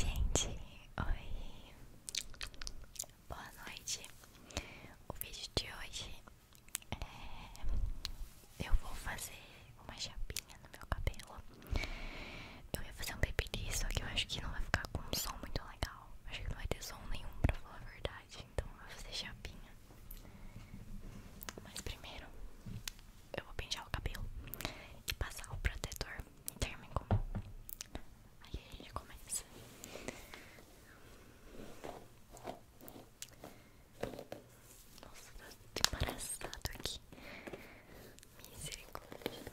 Gente, oi! Boa noite! O vídeo de hoje é... Eu vou fazer uma chapinha no meu cabelo Eu ia fazer um babyliss, só que eu acho que não vai ficar com um som muito legal Acho que não vai ter som nenhum, pra falar a verdade Então eu vou fazer chapinha Mas primeiro eu vou pentear o cabelo e passar o protetor térmico. Aí ele começa. Nossa, tá embaraçado aqui. Misericórdia.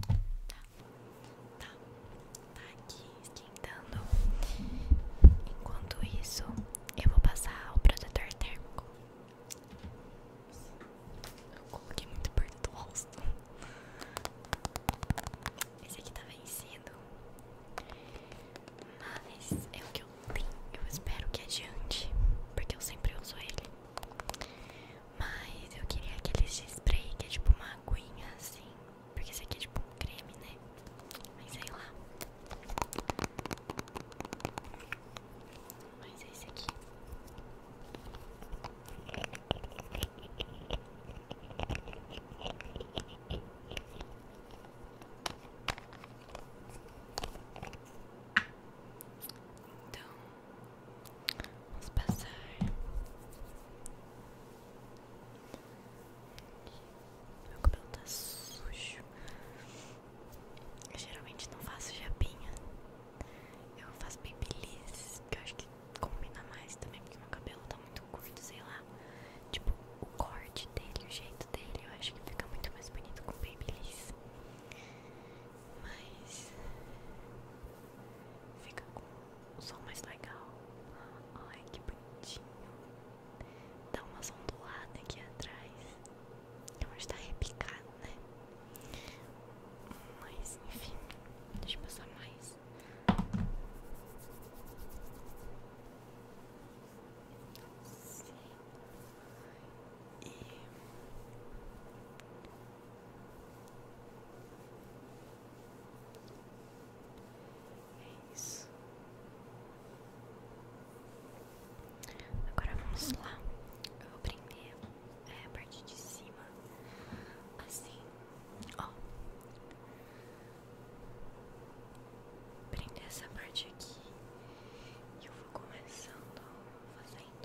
Tá, tá, tá aqui esquentando. Enquanto isso, eu vou passar o protetor térmico. Eu coloquei muito perto do rosto. Esse aqui tá vencido. Mas é o que eu tenho. Eu espero que adiante. Porque eu sempre uso ele. Mas eu queria aquele spray que é tipo uma aguinha assim. Porque esse aqui é tipo um creme, né? Mas sei lá. Mas é esse aqui. Então, Vamos passar Meu cabelo tá sujo Eu geralmente não faço japinha Eu faço babyliss Que eu acho que combina mais também Porque meu cabelo tá muito curto, sei lá Tipo, o corte dele, o jeito dele Eu acho que fica muito mais bonito com babyliss mas fica com um som mais legal. olha que bonitinho! Dá uma ondulada aqui atrás. Eu acho tá repicado, né? Mas enfim, deixa eu passar mais. Sim. E é isso. Agora vamos lá. Eu vou prender é, a parte de cima, assim, ó. Prender essa parte aqui. E eu vou começando fazendo.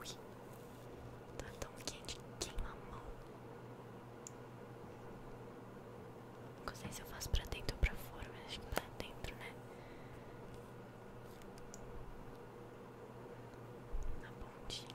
Ui, tá tão quente que queima a mão. Não se eu faço pra dentro ou pra fora, mas acho que pra tá dentro, né? Na pontinha.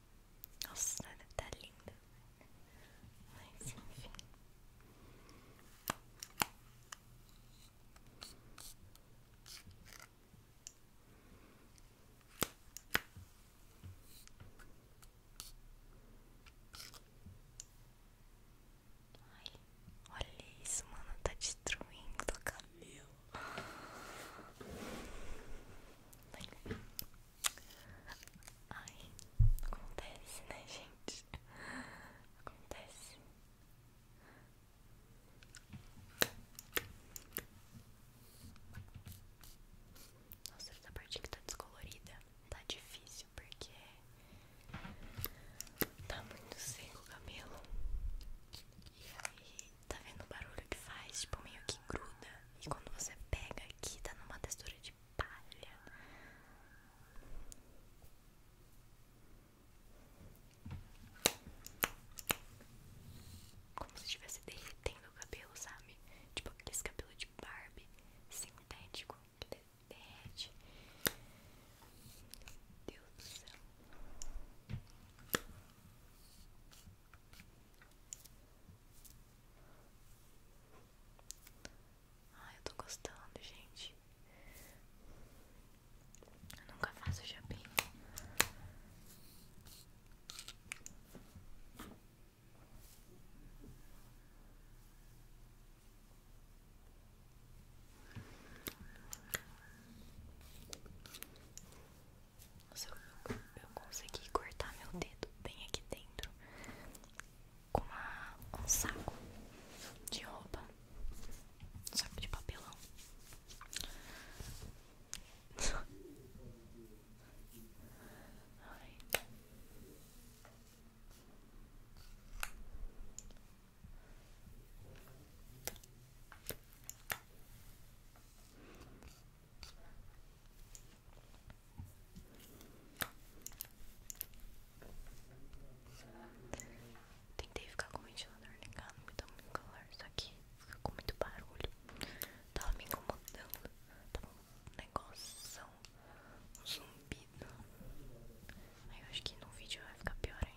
Nossa, tá linda. Mas enfim. Ai, olha isso, mano. Tá destruindo o cabelo. Ai, acontece, né, gente? Acontece. Nossa, essa parte que tá descolorida tá difícil porque tá muito seco o cabelo. E aí Tá vendo o barulho que faz? Tipo, meio que gruda. E quando você pega aqui, tá numa textura de palha. Como se estivesse derretendo o cabelo, sabe? Tipo aqueles cabelo de Barbie sintético que derrete. Meu Deus do céu. Ai, eu estou gostando, gente. Eu nunca faço chapinho. Ai, nossa, eu, consegui cortar meu dedo bem aqui dentro com um saco de roupa, saco de papelão. Tentei ficar com o ventilador ligado, me dá muito calor, isso aqui fica com muito barulho. Tava me incomodando, tava um negócio, um zumbido. acho que no vídeo vai ficar pior ainda.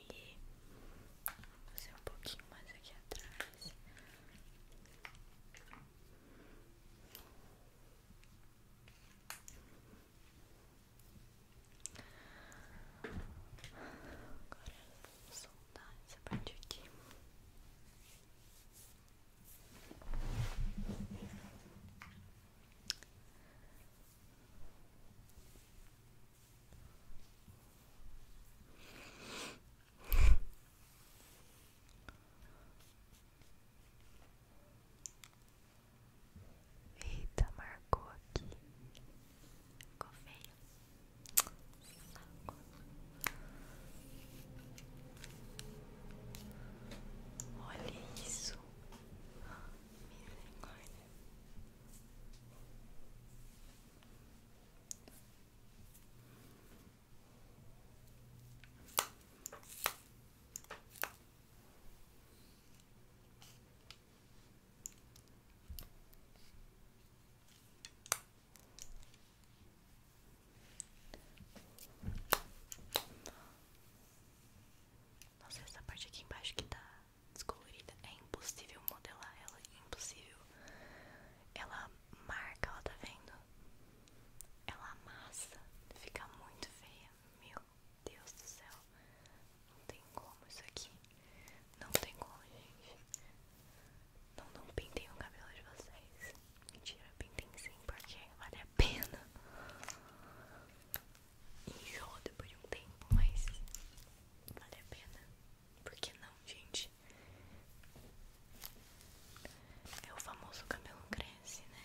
aqui. Você um pouquinho mais aqui atrás. Agora vou soltar essa parte aqui. Eita, marcou aqui. Ficou Olha isso. Nossa, essa parte aqui embaixo que tá descolorida, é impossível modelar ela, é impossível. Ela marca, ela tá vendo? Ela amassa, fica muito feia, meu Deus do céu. Não tem como isso aqui. Não tem como, gente. Não, não pintem o cabelo de vocês. Mentira, pintem sim, porque vale a pena enjoa depois de um tempo, mas vale a pena. porque não, gente? É o famoso cabelo cresce, né?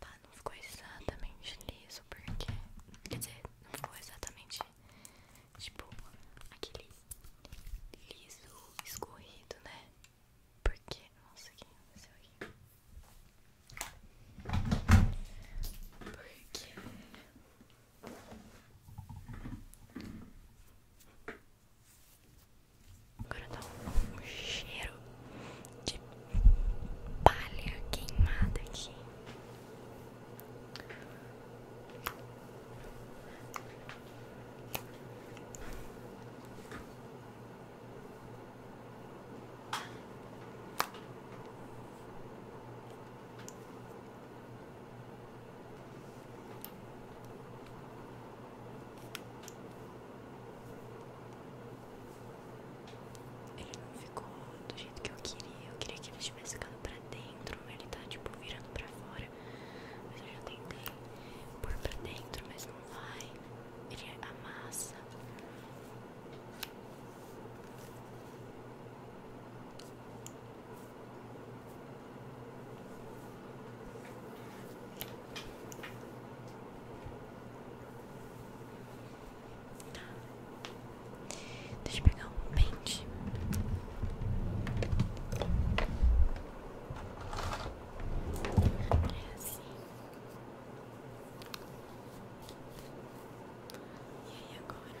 Tá, não ficou exatamente liso, porque. Quer dizer, não ficou exatamente tipo aquele liso escorrido, né? Porque. Nossa, o que aconteceu aqui? Porque Agora dá um, cheiro de palha queimada aqui. Ele não ficou do jeito que eu queria. Eu queria que ele estivesse ficando pra dentro. mas Ele tá tipo virando pra fora. Mas eu já tentei pôr pra dentro, mas não vai. Ele amassa. Deixa eu pegar um pente. É assim. E agora?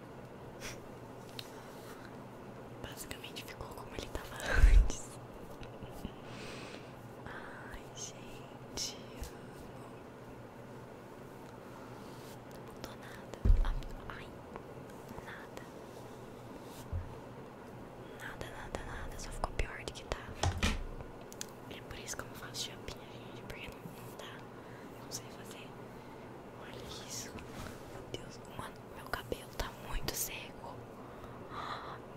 Basicamente ficou como ele tava antes. Ai, gente. Não mudou nada. Ai, nada. Nada, nada, nada. Só ficou pior do que tava. Tá. É por isso que eu não faço chapinha, gente. Porque não, não Não sei fazer. Olha isso. Meu cabelo tá muito seco.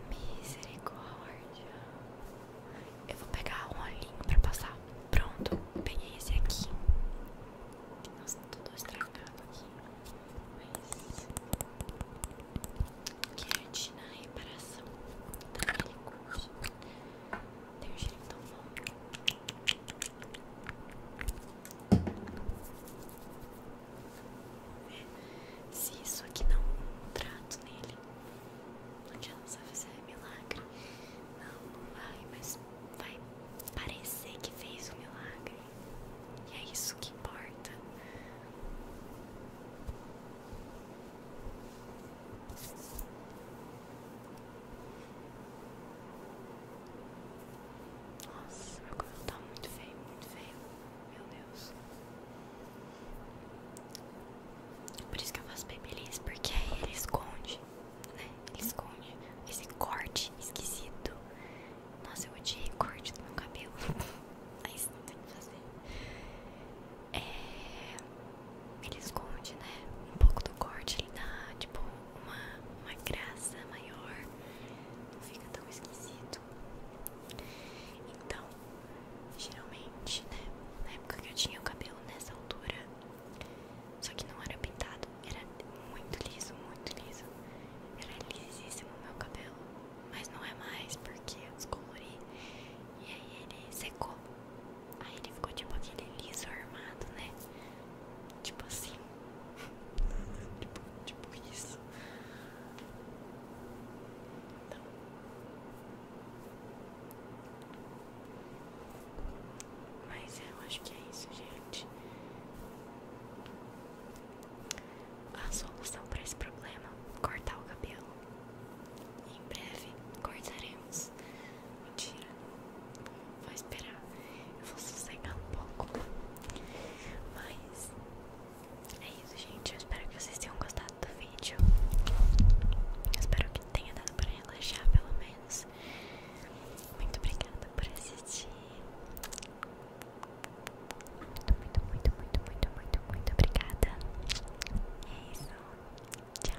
misericórdia. Eu vou pegar um olhinho pra passar. Pronto, peguei esse aqui. Nossa, tudo estragado aqui. Mas. Quente na reparação daquele tá curso. Tem um jeito tão bom. Se isso aqui não um trato nele, não adianta fazer milagre. Não, não vai, mas vai parecer que fez um milagre. E é isso que importa. Nossa, meu cabelo tá muito feio, muito feio. Meu Deus. É por isso que eu faço babyliss, porque ele esconde, né? Ele esconde esse corte esquisito. Nossa, eu odiei corte do meu cabelo. Mas não tem o que fazer. É... Ele esconde, né? Um pouco do corte, ele dá, tipo, uma, uma graça maior, não fica tão esquisito. Então, geralmente, né, na época que eu tinha o cabelo nessa altura, só que não era pintado, era muito liso, muito liso. Era lisíssimo o meu cabelo, mas não é mais porque eu descolori e aí ele secou. Aí ele ficou tipo aquele liso armado, né? Tipo assim. tipo, tipo isso. Então. Mas eu acho que é isso, gente. A solução para esse problema: cortar o cabelo. Em breve cortaremos. Mentira. Vou esperar. Eu vou sossegar um pouco. Mas é isso, gente. Eu espero que vocês tenham gostado do vídeo. Eu espero que tenha dado pra relaxar, pelo menos. Muito obrigada por assistir. Muito, muito, muito, muito, muito, muito, muito obrigada. É isso. Tchau.